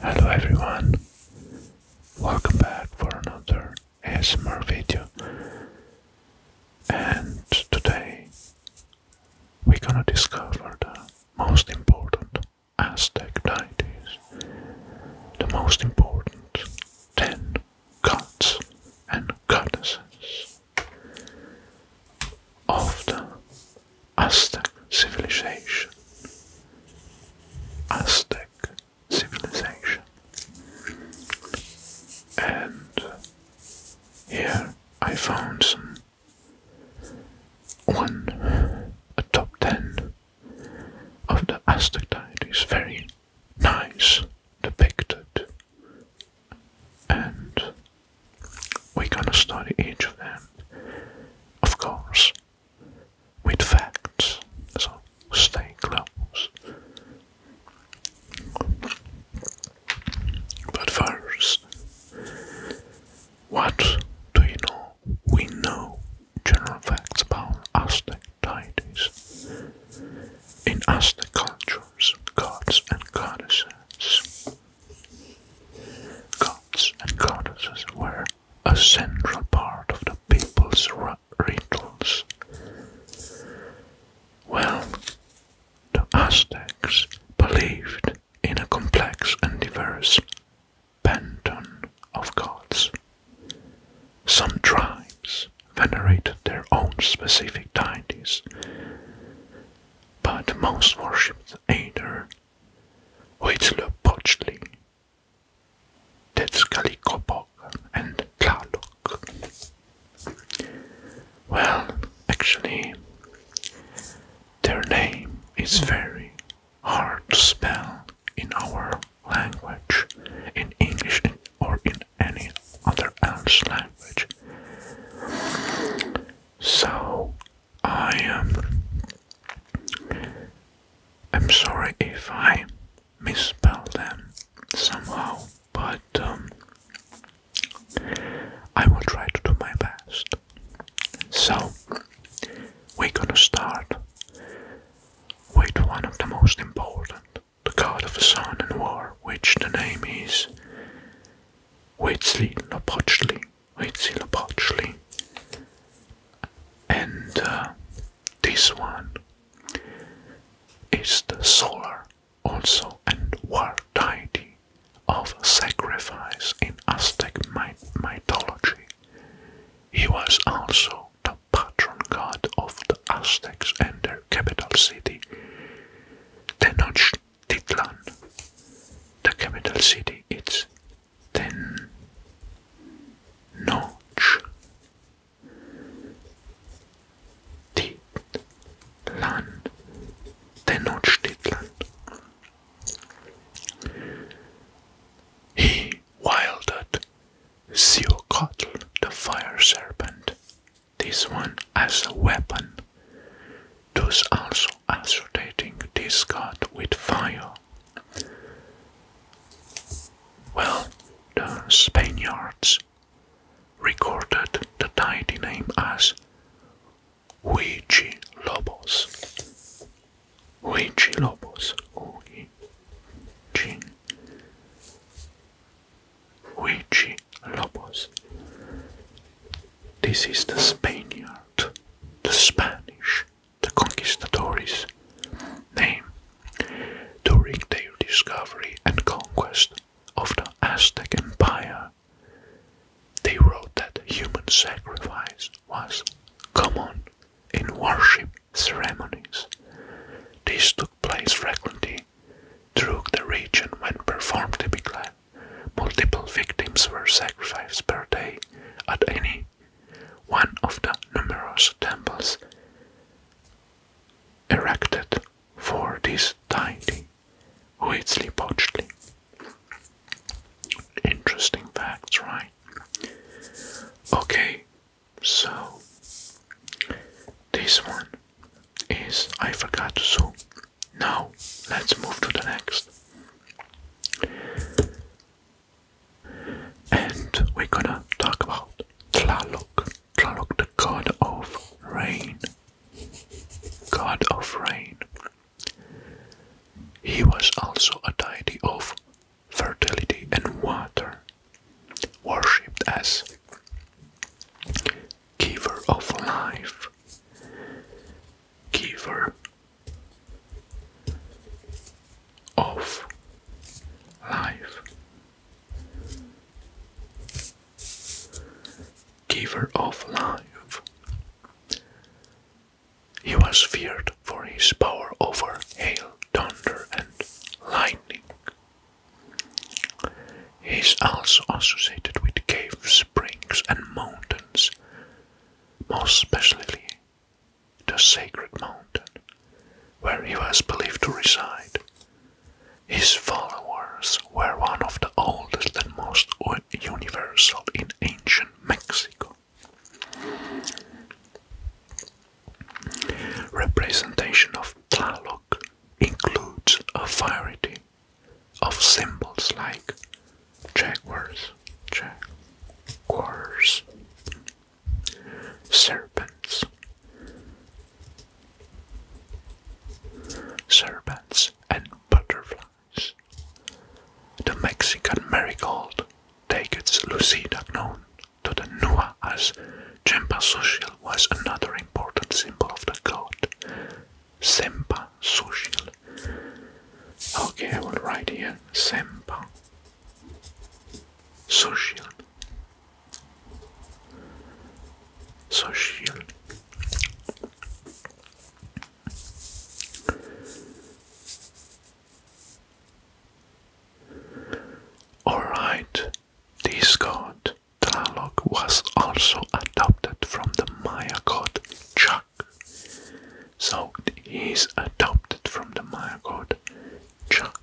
Hello everyone, welcome back for another ASMR video and today we're gonna discover the most important Aztec deities, the most important ten gods and goddesses of the Aztec civilization. Aztec civilization. And here I found some one, a top ten of the Aztec diet is very nice depicted. And we're gonna study each of them, of course, with facts. So stay close. But first, what do you know? We know general facts about Aztec deities. In Aztec cultures, gods and goddesses. Gods and goddesses were a central part of the people's rituals. Well, the Aztecs believed in a complex and diverse pantheon of gods some tribes venerated their own specific deities, but most worshipped either Huitzilopochtli, Tetzalcoatl, and Tlaloc. Well, actually, their name is very hard to spell in our language, in English or in any other language. So I am. Um, I'm sorry if I misspell them somehow, but um, I will try to do my best. So we're gonna start with one of the most important the god of sun and war, which the name is Huitzilopochtli. And uh, this one is the solar, also, and war deity of sacrifice in Aztec mythology. He was also the patron god of the Aztecs and their capital city, Tenochtitlan. The capital city is Tenochtitlan. Tenochtitlan. He wielded Xiocotl, the fire serpent, this one has a weapon, thus also associating this god with fire. Well, the Spaniards recorded the deity name as Huichi Lobos. Huichi Lobos, who Jin, Huichi Lobos. This is the Spaniard, the Spanish, the conquistadores' name during their discovery and conquest of the Aztec Empire. They wrote that human sacrifice was common in worship ceremonies. This took place frequently through the region when performed typically. Multiple victims were sacrificed per day at any one of the numerous temples erected for this deity, Huitzilopochtli. Interesting facts, right? Okay, so, this one is I forgot to so now let's move to the next. And we're gonna talk about Tlaloc. Tlaloc the god of rain. God of rain. He was also a deity of fertility, and water, worshipped as giver of life, giver of life, giver of life. He was feared for his power over hail thunder and lightning. He is also associated with caves, springs, and mountains, most especially the sacred mountain, where he was believed to reside. His followers were one of the oldest and most universal in ancient Mexico. Representation of Tlaloc includes a variety of symbols like jaguars, jaguars, serpents, serpents, and butterflies. The Mexican marigold, Tagetes lucida, known to the Nua as Jempa Social was another important symbol of the god. Sempa Social. Okay, I will write here Sempa Social Social. Alright, this god, Tlaloc, was also adopted from the Maya god Chak. So he's adopted from the Maya god Chak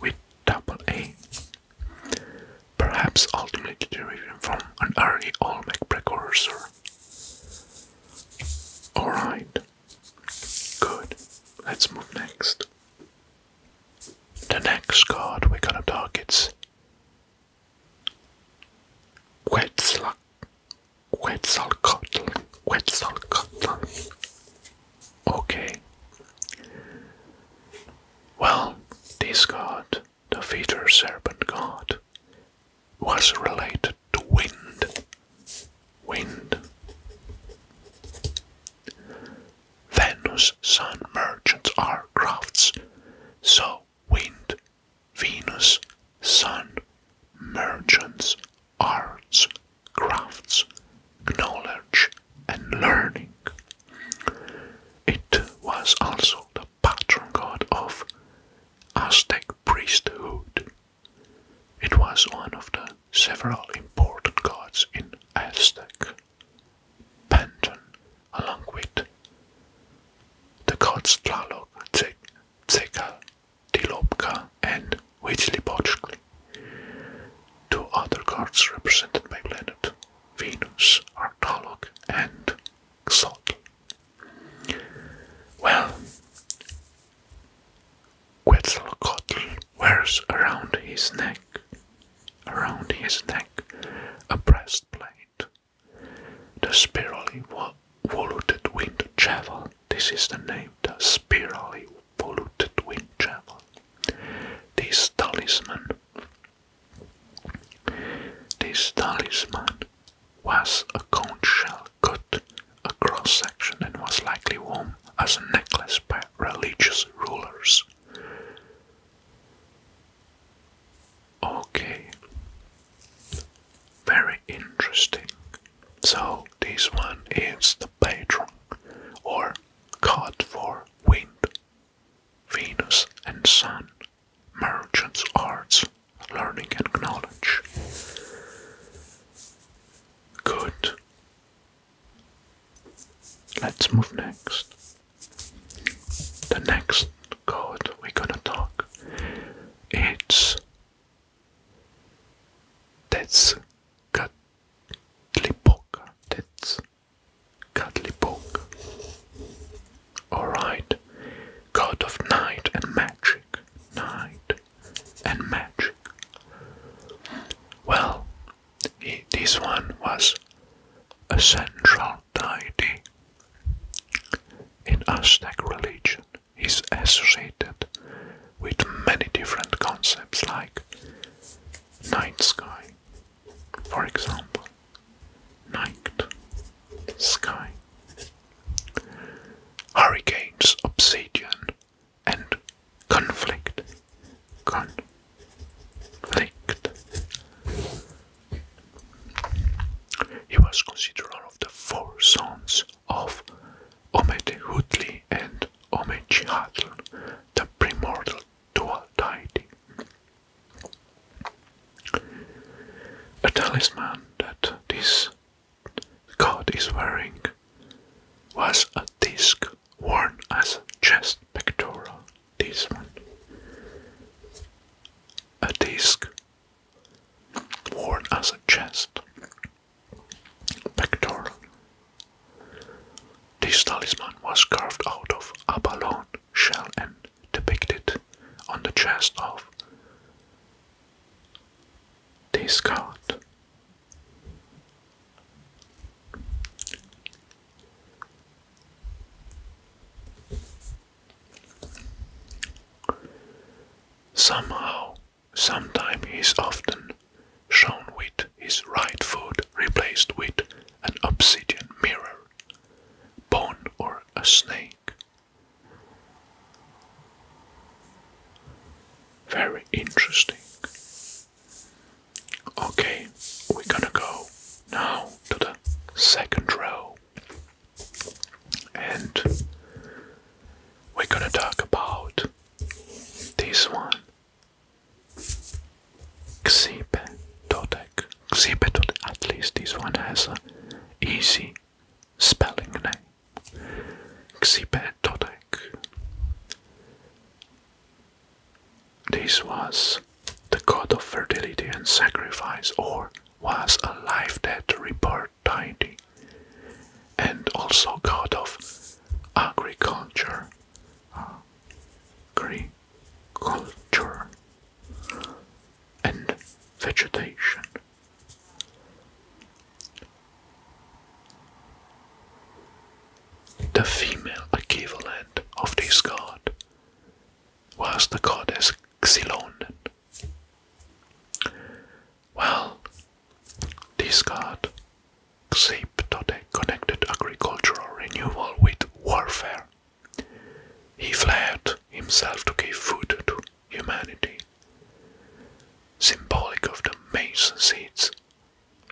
with double A. Perhaps ultimately derived from an early Olmec precursor. Alright. Good. Let's move next. The next card we're gonna target's Quetzal Quetzalcoatl. Quetzalcoatl. Okay. Well, this god, the Feather serpent god, was related to wind wind. Venus sun merchants are crafts, so wind, Venus, sun, merchants, arts, crafts, knowledge, and learning. It was also the patron god of Aztec priesthood it was one of the several important gods in Aztec. Panton, along with the gods Tlaloc, Tzeka, Tilopka, and Huitzilopochtli. Two other gods represented by planet Venus are Tlaloc and Xotl. Well, Quetzalcoatl wears around his neck, around his neck, a breastplate, the spirally voluted winged javelin. This is the name, the spirally voluted winged javelin. This talisman, this talisman was a conch shell cut a cross section, and was likely worn as a necklace by religious rulers. Okay, very interesting. So, this one is the patron or god for wind, Venus, and sun, merchants, arts, learning, and knowledge. Good. Let's move next. The next code we're gonna talk it's Tezcatlipoca. Tezcatlipoca. Alright. God of night and magic. Night and magic. Well, this one was a central deity in Aztec religion. He's associated with many different concepts like night sky, for example, night sky, hurricanes, obsidian, and conflict. Conflict. He was considered one of the four sons of Omethutli and Omechihatl, the primordial dual deity. A talisman that this God is wearing was a disc worn as a chest pectoral. This A disc worn as a chest pectoral. This talisman was carved out of abalone shell and depicted on the chest of this god. Somehow, sometime he is often shown with his right foot replaced with an obsidian mirror, bone or a snake. Very interesting. Okay, we're gonna go now to the second row and we're gonna talk about this one Xipe Dotec. at least this one has an easy spelling name. Xipetotek. This was the god of fertility and sacrifice, or was a life that rebirth deity, and also god of agriculture. Agriculture and vegetation. The female equivalent of this god was the goddess Xylonen. Well, this god Xiptote connected agricultural renewal with warfare. He fled himself to give food to humanity, symbolic of the maize seeds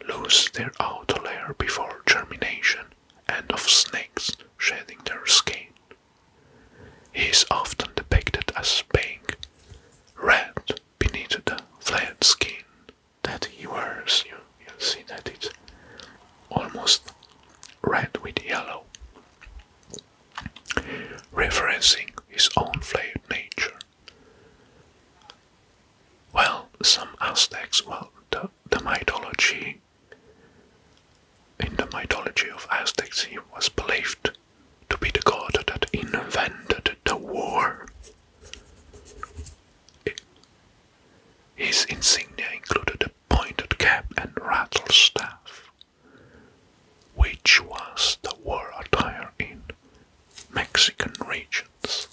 lose their outer layer before germination, and of snakes shedding their skin. He is often depicted as being red beneath the flat skin that he wears. You, you'll see that it's almost red with yellow, referencing his own flayed nature. Well, some Aztecs, well, the, mythology, in the mythology of Aztecs, he was believed to be the god that invented the war. his insignia included a pointed cap and rattle staff, which was the war attire in Mexican regions.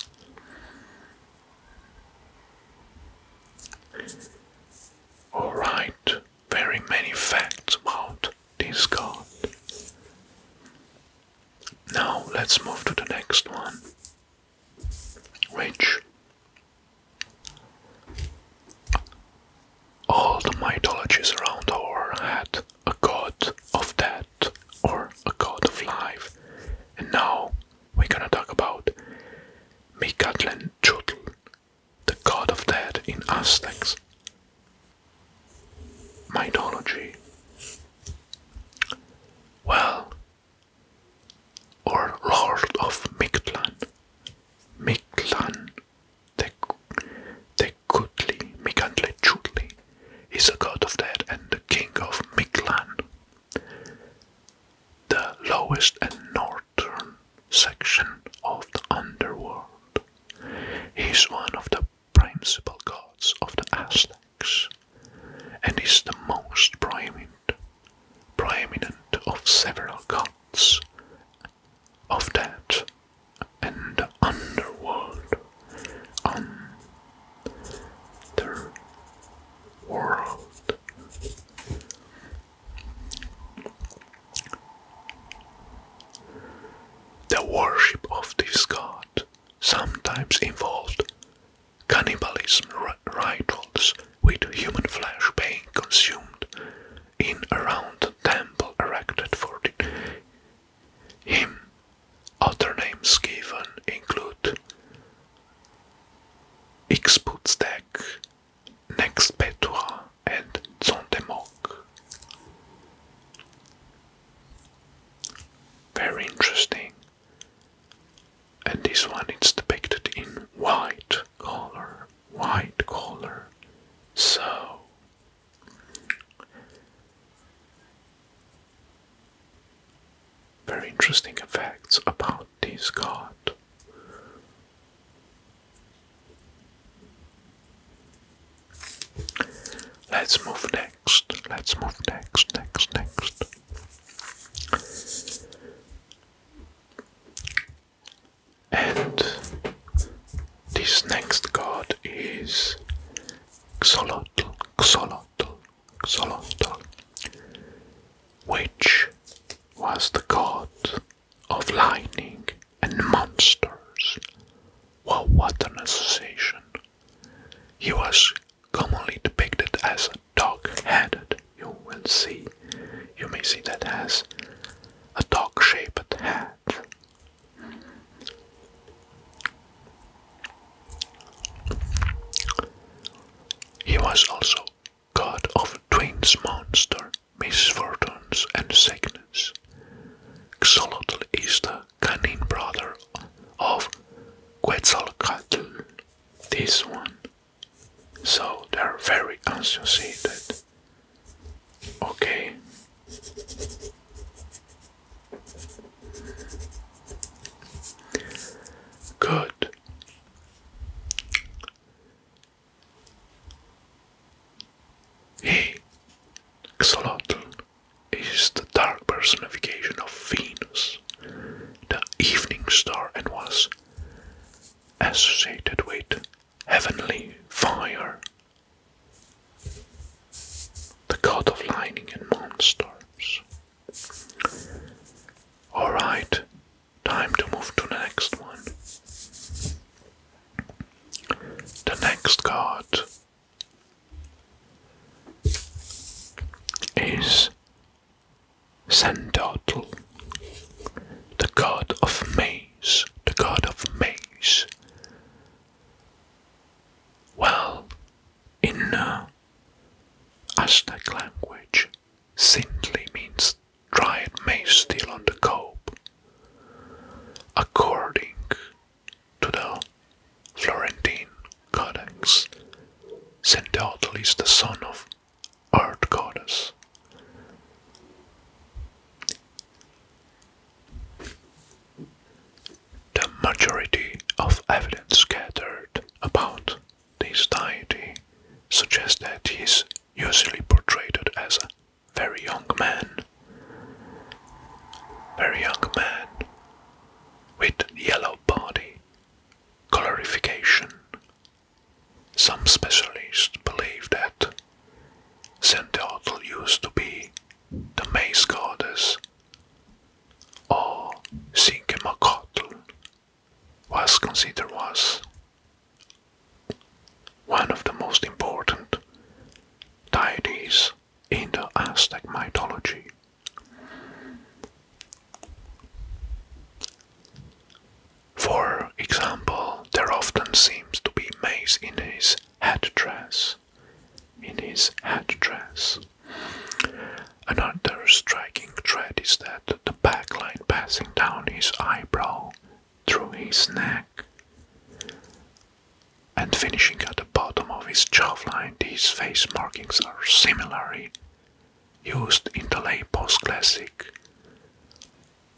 Alright, very many facts about this god. Now let's move to the next one, which all the mythologies around our had a god of death or a god of life. And now we're gonna talk about Micatlan Chutl, the god of death in Aztecs. Mythology. Well, or Lord of Mictlan. Mictlan, the, the Mekutli, Mikantlechutli is the god of death and the king of Miklan, the lowest and northern section of the underworld. He is one of the principal gods of the Aztecs and is the most prominent, prominent of several gods of death and um, the underworld. Underworld. The worship of this god sometimes involved cannibalism rituals with human flesh being consumed in around a temple erected for the him. Other names given include X Ixputztec, Nextpetua, and Zontemoc. Very interesting. And this one is depicted in white color, white color. So very interesting effects about this card. Let's move next. Let's move next, next, next. And this next card is Xolotl, Xolotl, Xolotl, which was the god of lightning and monsters. Well, what an association! He was commonly depicted as a dog-headed. You will see, you may see that as a dog-shaped head he was also god of twins, monsters, misfortunes, and sickness. Xolotl is the cunning brother of Quetzalcoatl. This one. So they're very associated. Okay, Good. Hey, Xolotl is the dark personification of Venus, the evening star, and was associated with heavenly fire the god of lightning and monsters. Alright, time to move to the next one. The next god is Sandotl, the god of maze, the god of maze, well, in uh, Aztec language, simply means dried maize still on the cob. According to the Florentine Codex, Sendeotl is the son of Art Goddess. The majority of evidence scattered about this deity suggests that he is usually portrayed as a very young man. Very young man with yellow body colorification. Some specialists believe that Saint Teotl used to be the Maze Goddess, or Cinquemacotl, was considered as one of the most important deities in the Aztec mythology. For example, there often seems to be maize in his headdress in his hat dress. Another striking trait is that the back line passing down his eyebrow through his neck and finishing at the bottom of his jawline, these face markings are similarly used in the late postclassic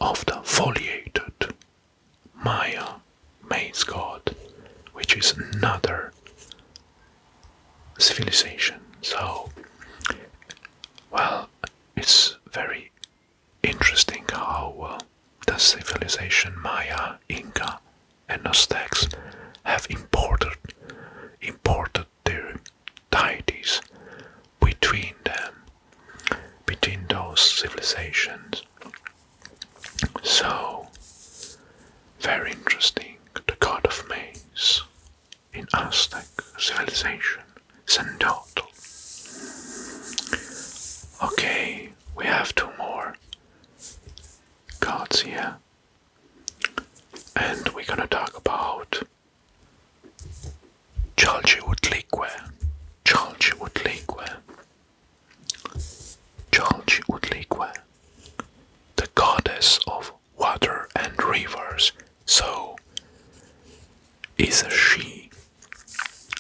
of the foliated Maya, Maze God, which is another civilization. So, well, it's very interesting how uh, the civilization Maya, Inca, and Aztecs have imported imported their deities between them, between those civilizations. So, very interesting. The god of maize in Aztec civilization, Sendotl. Okay, we have two more gods here, and we're gonna talk about Chalchiwutlique. Chalchiwutlique Chalchutlicue, the goddess of water and rivers, so is she,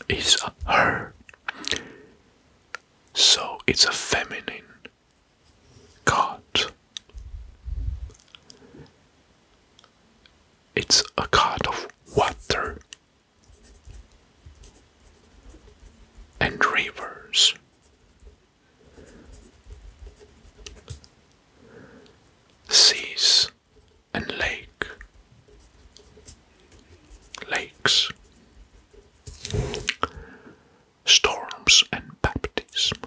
is her, so it's a feminine god. It's a god of water and rivers. Seas and lake, lakes, storms and baptism,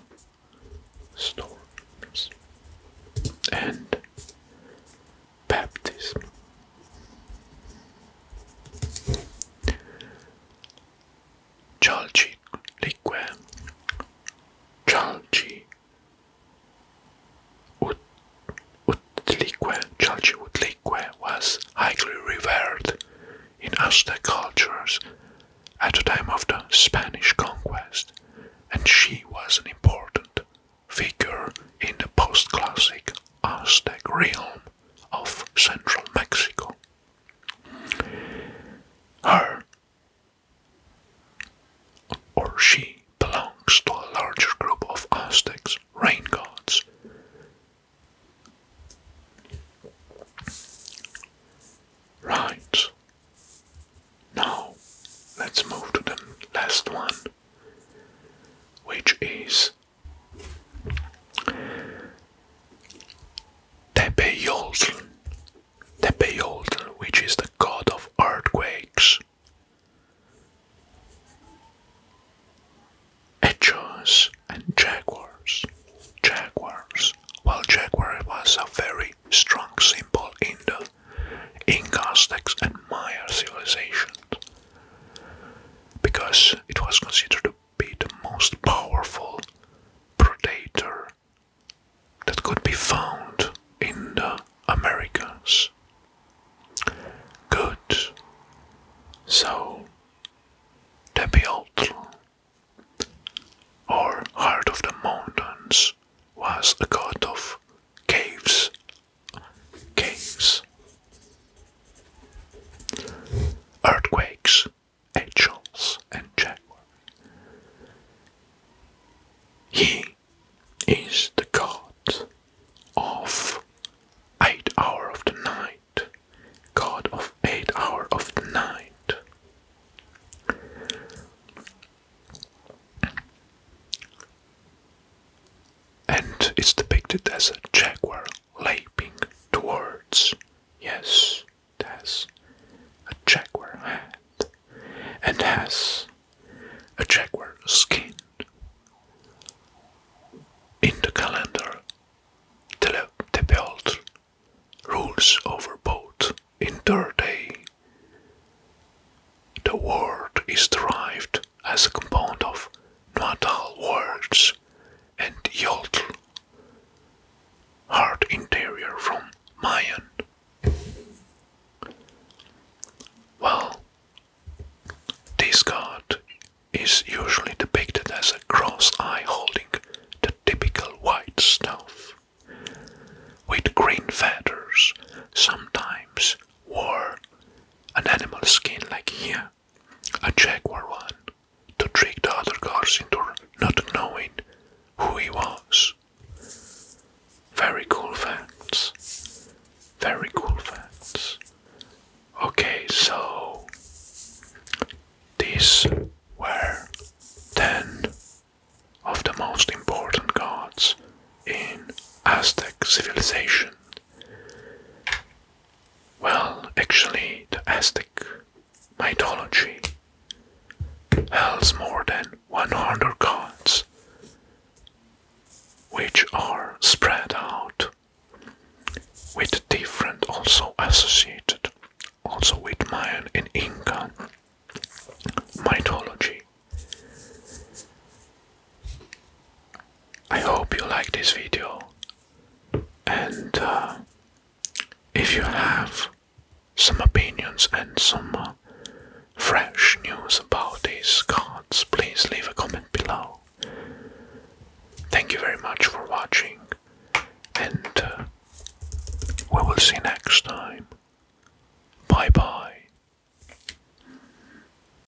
storms, and baptism. Chalci lique, chalci ut, utlique, chalci utlique was highly revered in Aztec cultures at the time of the Spanish conquest, and she was an important figure in the post-classic Aztec realm of central Mexico. Her or she belongs to a larger group of Aztecs, rain gods. Right. Now, let's move to the last one, which is Tepe Yoltl, which is the god of earthquakes. Echos and jaguars, jaguars. Well, jaguar was a very strong symbol in the Inca, Aztecs, and Maya civilizations because it was considered to be the most powerful predator that could be found in the Americas. Good. So, Tepeotl, or Heart of the Mountains, was a god of caves caves, earthquakes, angels, and jaguar. He is the god of eight hour of the night, god of eight hour of the night and it's depicted as a jaguar leaping towards. Yes, it has a jaguar head and has a jaguar skin. In the calendar, the belt rules over both in their day. The word is derived as a compound of not all words, and Yotl. hard interior from Mayan. Well, this god is usually depicted as a cross eye holding the typical white staff, with green feathers, sometimes wore an animal skin like here a Jaguar one, to trick the other gods into not knowing who he was. Very cool facts. Very cool facts. Okay, so these were 10 of the most important gods in Aztec civilization. Well, actually, the Aztec mythology has more than 100 gods, which are spread out with different, also associated, also with Mayan and Inca mythology. I hope you like this video, and uh, if you have some opinions and some uh, fresh news about these cards, please leave a comment below. Thank you very much for watching, and uh, we will see you next time. Bye bye.